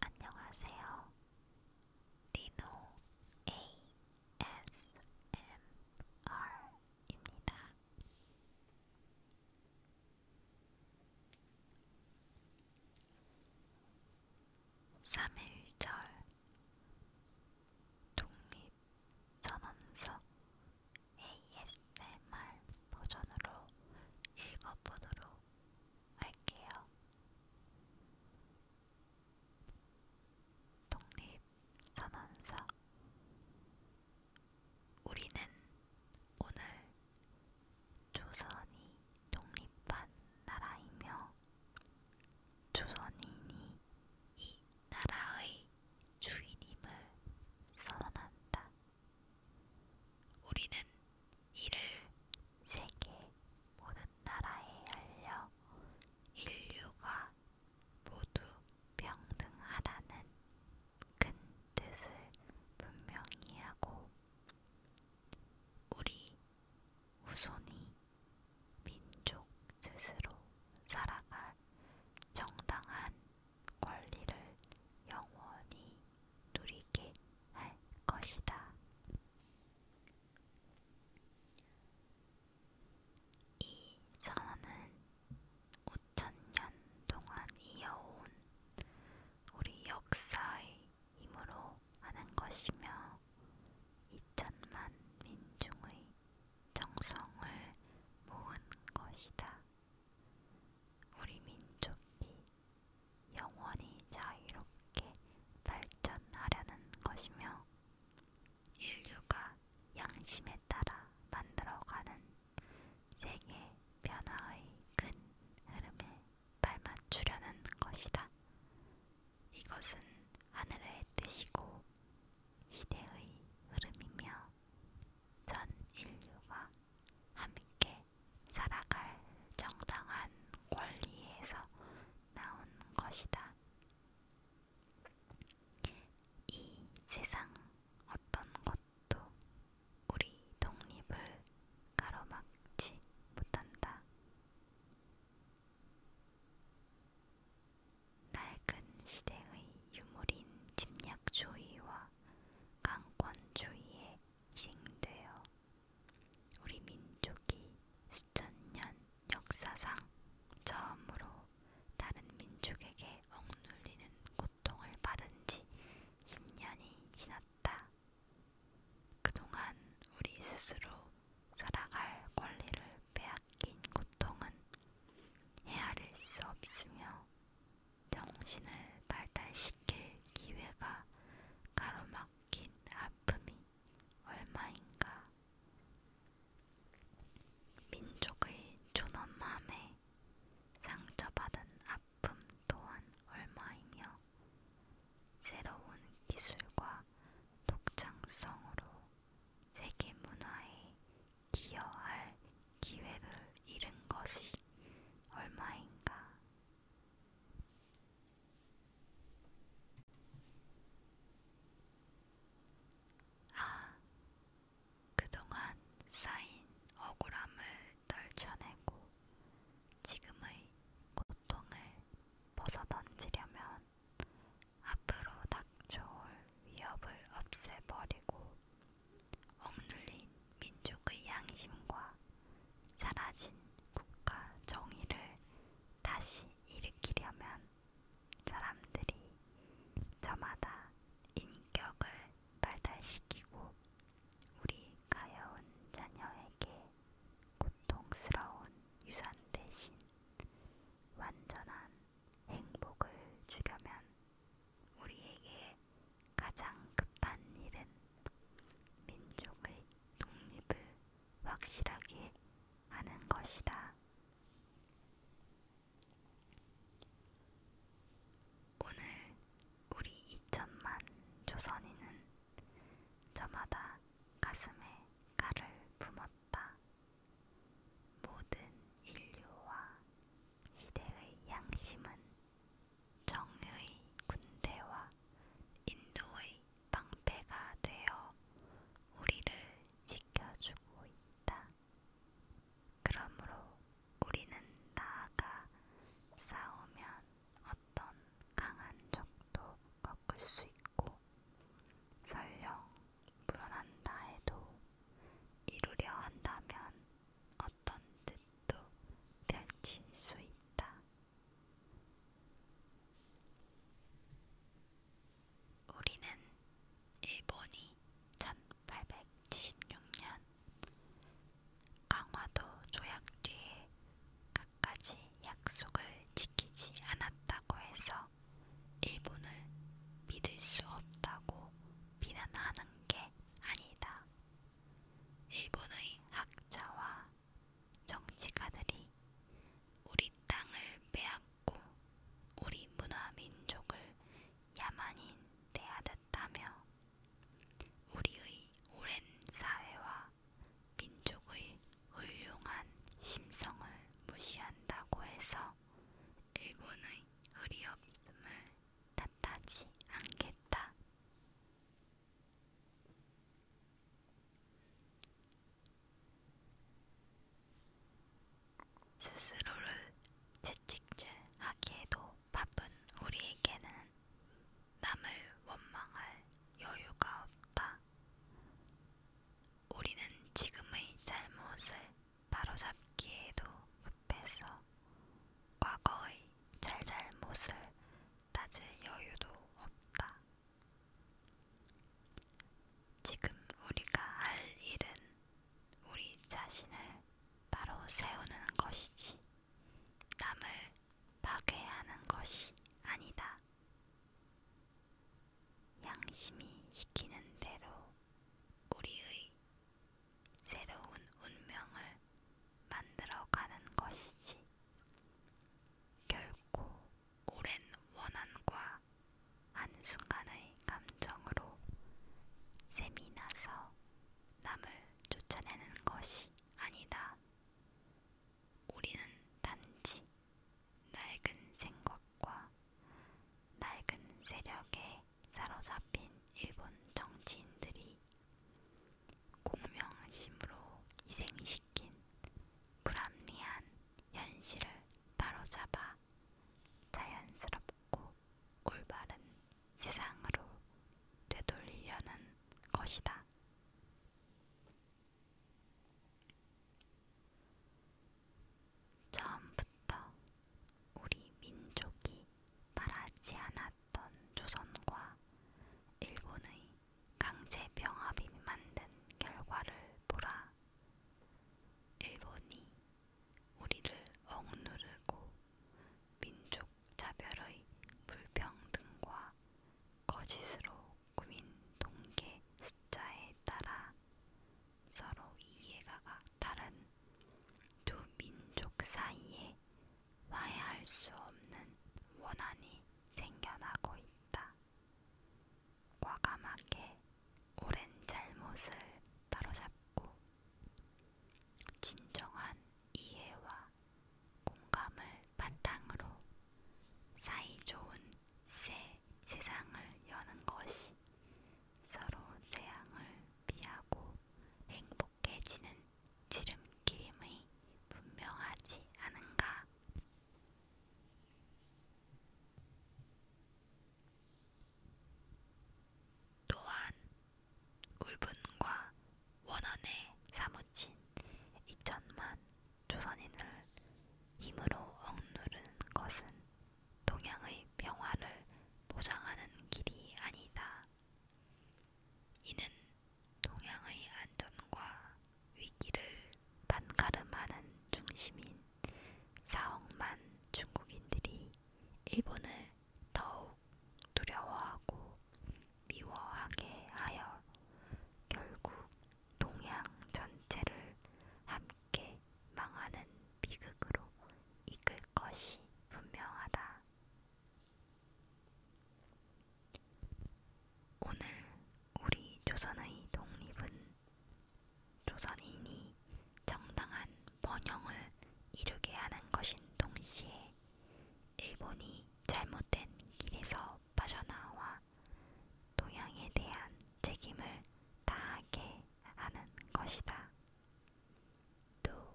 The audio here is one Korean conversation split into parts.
안녕하세요. 리노 ASMR입니다. 삼일절 독립 선언서 ASMR 버전으로 읽어보도록 할게요. 독립선언서 우리는 오늘 조선이 독립한 나라이며 조선인이 이 나라의 주인임을 선언한다. 우리는 이를 세계 모든 나라에 알려 인류가 모두 평등하다는 큰 뜻을 분명히 하고 우리 후손이 민족 스스로 살아갈 정당한 권리를 영원히 누리게 할 것이다. 이 선언은 5천년 동안 이어온 우리 역사의 힘으로 하는 것이며 2천만 민중의 정성을 모은 것이다. 우리 민족이 영원히 자유롭게 발전하려는 것이며 인류가 양심에 따라 만들어가는 세계 변화의 큰 흐름에 발맞추려는 것이다. 이것은 하늘의 뜻이고 시대의 흐름이며 전 인류가 함께 살아갈 정당한 권리에서 나온 것이다. 이 세상 어떤 것도 우리 독립을 가로막지 못한다. 낡은 시대의 유물인 집약주의와 강권주의에 희생되어 우리 민족이 수천 년 역사상 처음으로 다른 민족에게 억눌리는 고통을 받은 지 10년이 지났다. 그동안 우리 스스로 살아갈 권리를 빼앗긴 고통은 헤아릴 수 없으며 정신을 발달시킬 기회가 가로막힌 아픔이 얼마인가. 민족의 존엄함에 상처받은 아픔 또한 얼마이며 새로운 기술과 독창성으로 세계 문화의 기여할 기회를 잃은 것이 얼마인가? 아, 그동안 쌓인 억울함을 떨쳐내고 지금의 고통을 벗어던지려면 앞으로 닥쳐올 위협을 없애버리고 억눌린 민족의 양심과 사라진 국가 정의를 다시 일으키려면 사람들이 저마다 인격을 발달시키고 우리 가여운 자녀에게 고통스러운 유산 대신 완전한 행복을 주려면 우리에게 가장 급한 일은 민족의 독립을 확실하게 하는 것이다. 오늘 우리 2천만 조선인은 저마다 가슴에 칼을 품었다. 모든 인류와 시대의 양심은 정의의 군대와 인도의 방패가 되어 우리를 지켜주고 있다. 그러므로 우리는 나아가 싸우면 어떤 강한 적도 꺾을 수 있고, 설령 불어난다 해도 이루려 한다면 어떤 뜻도 펼칠 수 있다. 우리는 일본이 1876년 강화도 조약 뒤에 갖가지 약속을 지키지 않았다고 해서 일본을 믿을 수 없다고 비난하는 게 아니다. 일본의 학자와 정치가들이 우리 땅을 빼앗고 우리 문화 민족을 야만인 대하듯하며 우리의 오랜 사회와 민족의 훌륭한 심성을 무시한다고 해서 일본의 의리없음을 탓하지 않겠다. 스스로를 채찍질하기에도 바쁜 우리에게는 남을 원망할 여유가 없다. 우리는 지금의 잘못을 바로잡기에도 급해서 과거의 잘잘못을 따질 여유도 없다. 지금 우리가 할 일은 우리 자신을 바로 세우는 것이지, 남을 파괴하는 것이 아니다. 양심이 시키는 대로 우리의 새로운 운명을 만들어가는 것이지. 결코 오랜 원한과 한순간의 감정으로 셈이 나서 남을 쫓아내는 것이 아니다. 우리는 단지 낡은 생각과 낡은 세력에 사로잡힌 일본 정치인들이 공명심으로 희생시킨 불합리한 현실을 바로잡아 자연스럽고 올바른 세상으로 되돌리려는 것이다. 처음부터 우리 민족이 바라지 않았던 조선과 일본의 강제 병합이 만든 결과를 보라. 일본이 우리를 억누르고 민족 자별의 불평등과 거짓으로 꾸민 동계 숫자에 따라 서로 이해가 각 다른 두 민족 사이에 화해할 수 없는 원한이 생겨나고 있다. 과감하게 오랜 잘못을 바로잡고 진정한 이해와 공감을 바탕으로 사이좋은 새 세상을 여는 것이 서로 재앙을 피하고 행복해지는 지름길임이 분명하지 않은가? 또한 울분과 원한에 사무친 2천만 조선인을 힘으로 억누른 것은 동양의 평화를 보장하는 길이 아니다. 이는 동양의 안전과 위기를 반가름하는 중심인 4억만 중국인들이 일본을 더욱 두려워하고 미워하게 하여 결국 동양 전체를 함께 망하는 비극으로 이끌 것이 분명하다. 오늘 우리 조선의 독립은 조선인이 정당한 번영을 이루게 하는 것인 동시에 일본이 잘못된 길에서 빠져나와 동양에 대한 책임을 다하게 하는 것이다. 또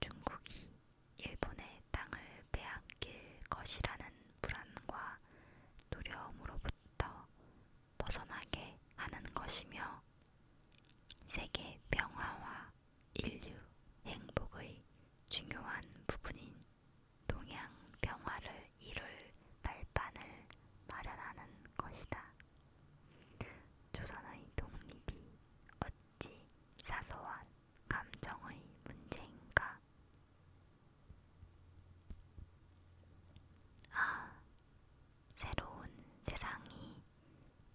중국이 일본의 땅을 빼앗길 것이라는 불안과 두려움으로부터 벗어나게 하는 것이며 세계 평화와 인류 행복의 중요한 부분인 동양 평화를 이룰 발판을 마련하는 것이다. 조선의 독립이 어찌 사소한 감정의 문제인가? 아, 새로운 세상이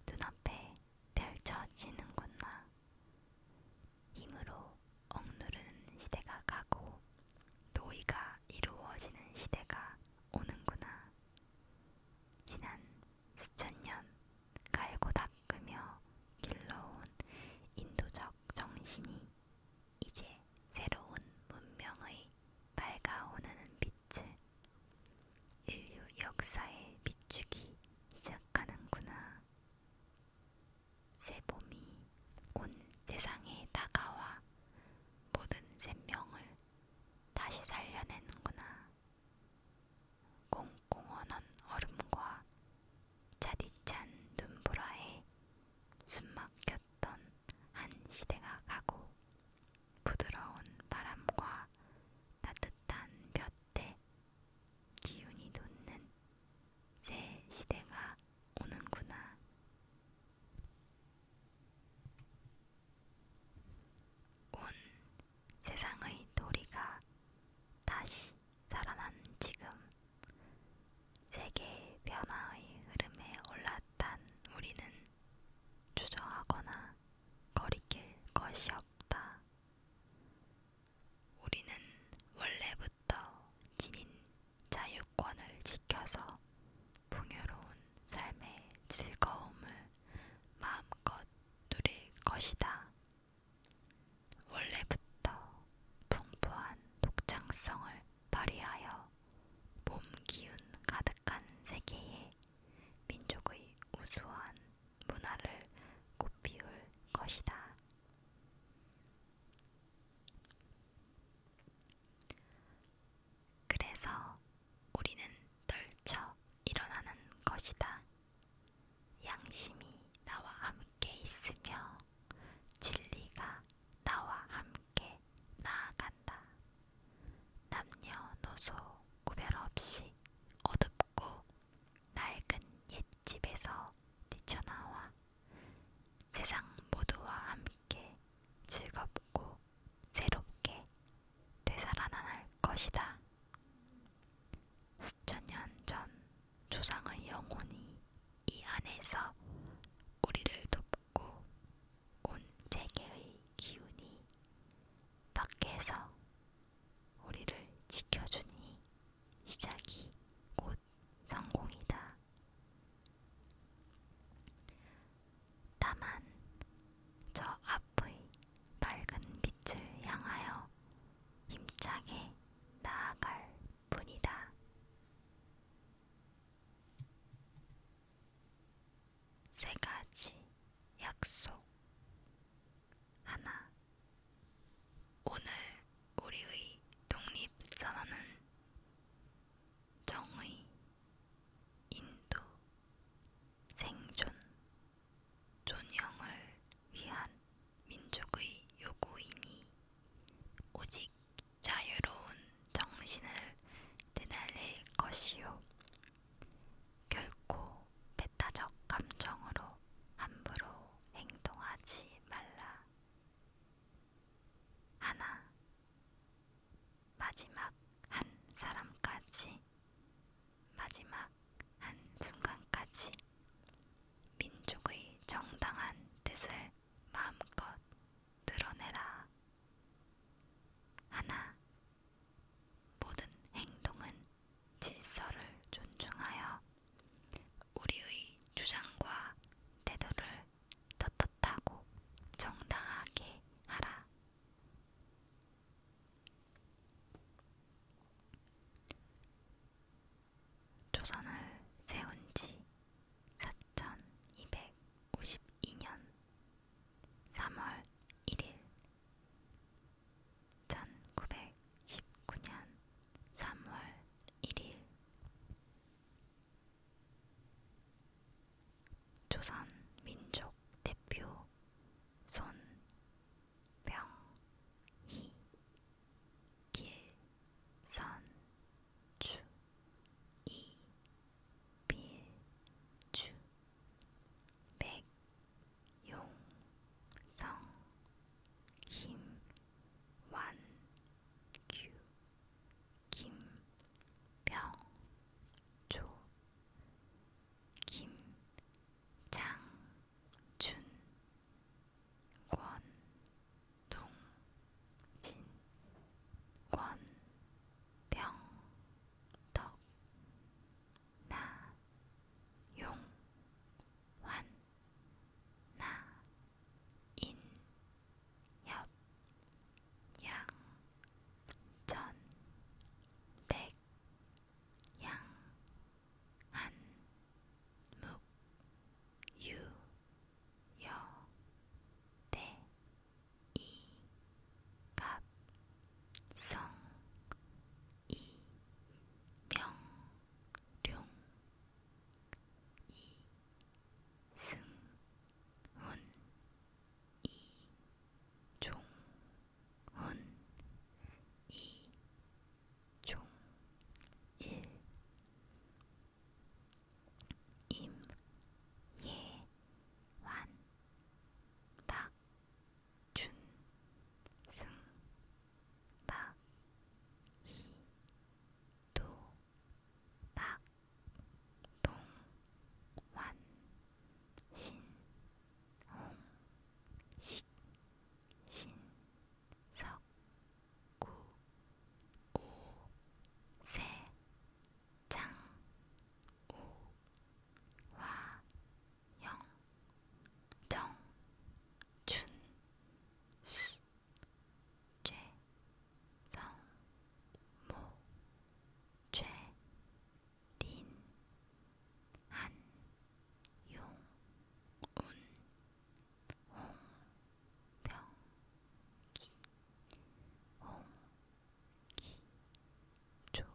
눈앞에 펼쳐지는구나. 힘으로 억누르는 시대가 가고 도의가 이루어지는 시대가 오는구나. 지난 수천 년 갈고 닦으며 길러온 인도적 정신이 이제 새로운 문명의 밝아오는 빛을 인류 역사에 비추기 시작하는구나. 새 봄이 온 세상에 다가와 모든 생명을 다시 살려내는구나. 공공원한 얼음과 자디찬 눈보라에 숨막혔던 한 시대가 가고 부드러운 바람과 따뜻한 볕에 기운이 돋는 새 시대가 오는구나. 온 세상의 도리가 다시 살아난 지금 세계의 변화의 흐름에 올라탄 우리는 주저하거나 거리낄 것이 없다. 우리는 원래부터 지닌 자유권을 지켜서 풍요로운 삶의 즐거움을 마음껏 누릴 것이다. 원래부터 풍부한 독창성을 발휘하여 몸 기운 가득한 세계에 민족의 우수한 문화를 꽃피울 것이다. 그래서 우리는 떨쳐 일어나는 것이다. 양심이 나와 함께 있으며 진리가 나와 함께 나아간다. 남녀노소 구별 없이 어둡고 낡은 옛집에서 뛰쳐나와 세상 모두와 함께 즐겁고 새롭게 되살아날 것이다. 수천 년 전 조상의 영혼이 이 안에서 우리를 돕고 온 세계의 기운이 밖에서 우리를 지켜주니 시작이 곧 성공이다. 다만 저 앞의 밝은 빛을 향하여 힘차게 나아갈 뿐이다. 세 가지 약속. 하나. 오늘 우리의 독립선언은 정의, 인도, 생존, 존영을 위한 민족의 요구이니 오직 자유로운 정신을 되달릴 것이요. 결코 배타적 감정으로 함부로 행동하지 말라. 하나, 마지막 한 사람까지, 마지막 한 순간까지 민족의 정당한 뜻을 마음껏 드러내라. 하나, 모든 행동은 질서를 존중하여 우리의 주장과 태도를 떳떳하고 정당하게 하라. 조선을 세운 지 4252년 3월 1일 1919년 3월 1일 조선 민족 대표 손병희 길선주 이빌주 백용성 힘 완규 김병조 김장준 권동진 권병덕 나용석 환나인 협 양 전 백 양한 묵유여 대 이갑성 이명룡 이명룡 승훈 이종훈 이종일 임예완 박준승 박이원 도박 동완 신홍 식 신석 구오세 장우 와영 정춘수 최성모 최린 한용운 홍병기 홍기조